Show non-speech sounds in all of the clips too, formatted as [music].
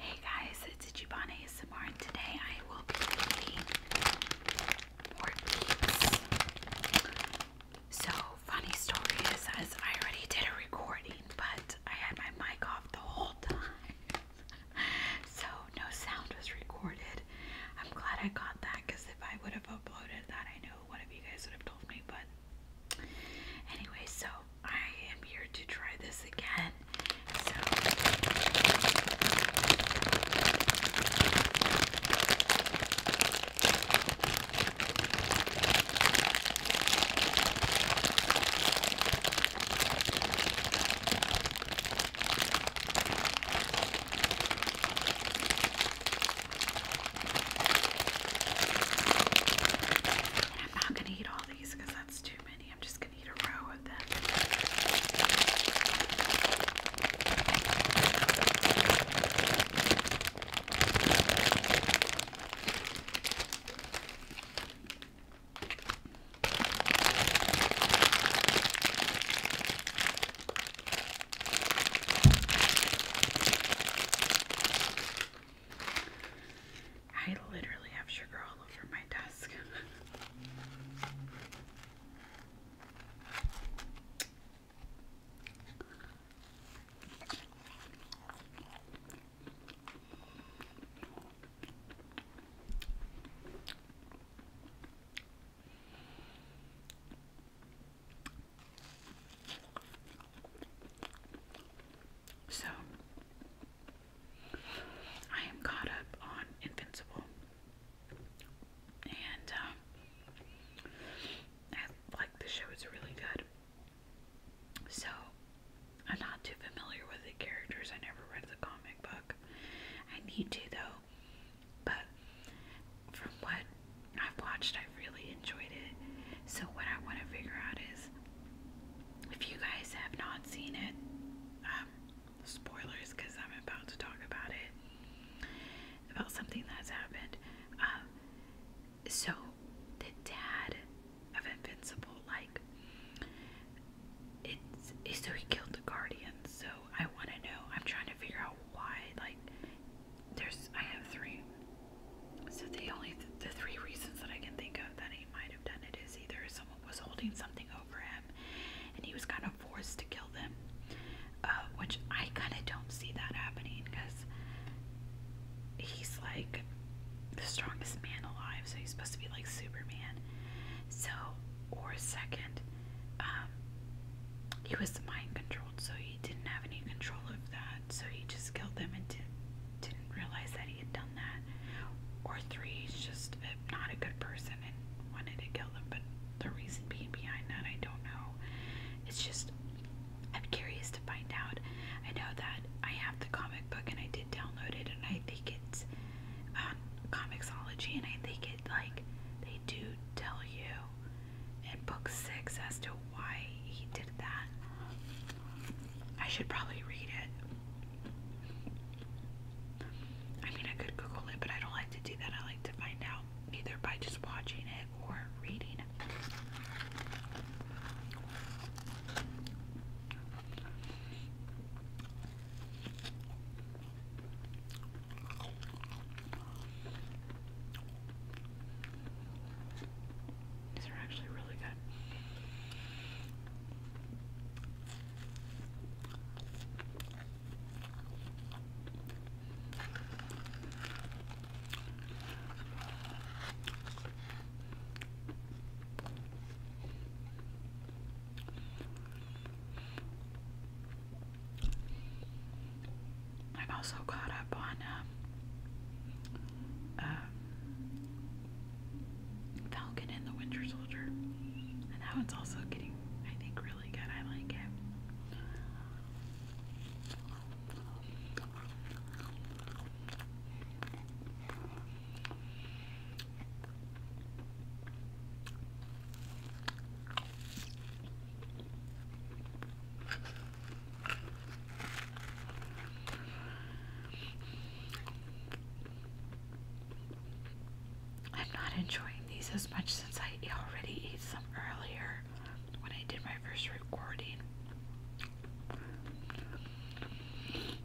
Hey guys, it's Ichibane ASMR and today I will be making more beats. So funny story is I already did a recording but I had my mic off the whole [laughs] time. so no sound was recorded. I'm glad I got that because if I would have uploaded that I know one of you guys would have told me, but anyway, so I am here to try this again. So and I'm not gonna eat all these because that's too many. I'm just gonna eat a row of them. I literally have sugar all over my desk. So, I am caught up on Invincible, and um, I like the show, it's really good. So, I'm not too familiar with the characters, I never read the comic book. I need to, though, but from what I've watched, I really enjoyed it. So, what I want to figure out is if you guys have not seen it, um, spoilers because I'm about to talk about it, about something that's happened. Um, so, the dad of Invincible, like, it's so he killed the guardian. So I want to know. I'm trying to figure out why. Like, there's I have three. So the only the three reasons that I can think of that he might have done it is either someone was holding something over him, and he was kind of forced to kill them, uh, which I kind of don't see that happening because he's like the strongest man alive, so he's supposed to be like Superman. So or second, um, he was mind controlled, so he didn't have any control of that, so he just killed them and did, didn't realize that he had done that. Or three, he's just a, uh, not a good person and wanted to kill them, but the reason being behind that, I don't know. It's just, I'm curious to find out. I know that I have the comic book and I did download it, and I think it's on and I think it like they do tell you in book six as to why he did that. I should probably read it. I mean, I could Google it, but I don't like to do that. I like to find out either by just watching it or reading it. These are actually really good. I'm also caught up on um, um, Falcon and the Winter Soldier, and that one's also getting, I think, really good. I like it. I'm not enjoying these as much since I already ate some earlier when I did my first recording.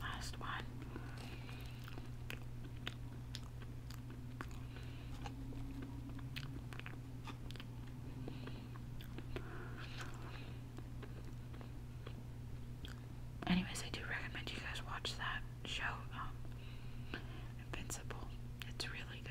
Last one. Anyways, I do recommend you guys watch that show, um, Invincible. It's really good.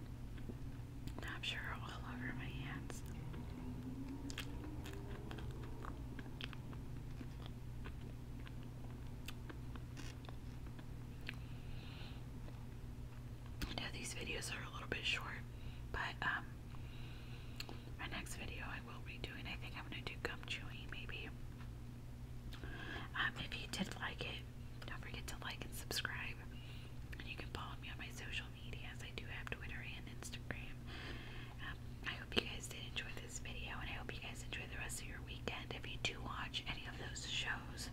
I'm sure all over my hands. I these videos are a little bit short, but um, my next video I will be doing. I think I'm gonna do gum chewing, maybe. Um, if you did like it, don't forget to like and subscribe, and you can follow me on my social social I do have Twitter and Instagram. Um, I hope you guys did enjoy this video, and I hope you guys enjoy the rest of your weekend. If you do watch any of those shows,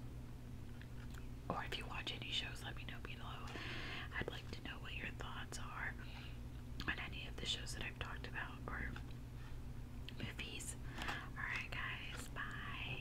or if you watch any shows, let me know below. I'd like to know what your thoughts are on any of the shows that I've talked about or movies. Alright, guys, bye.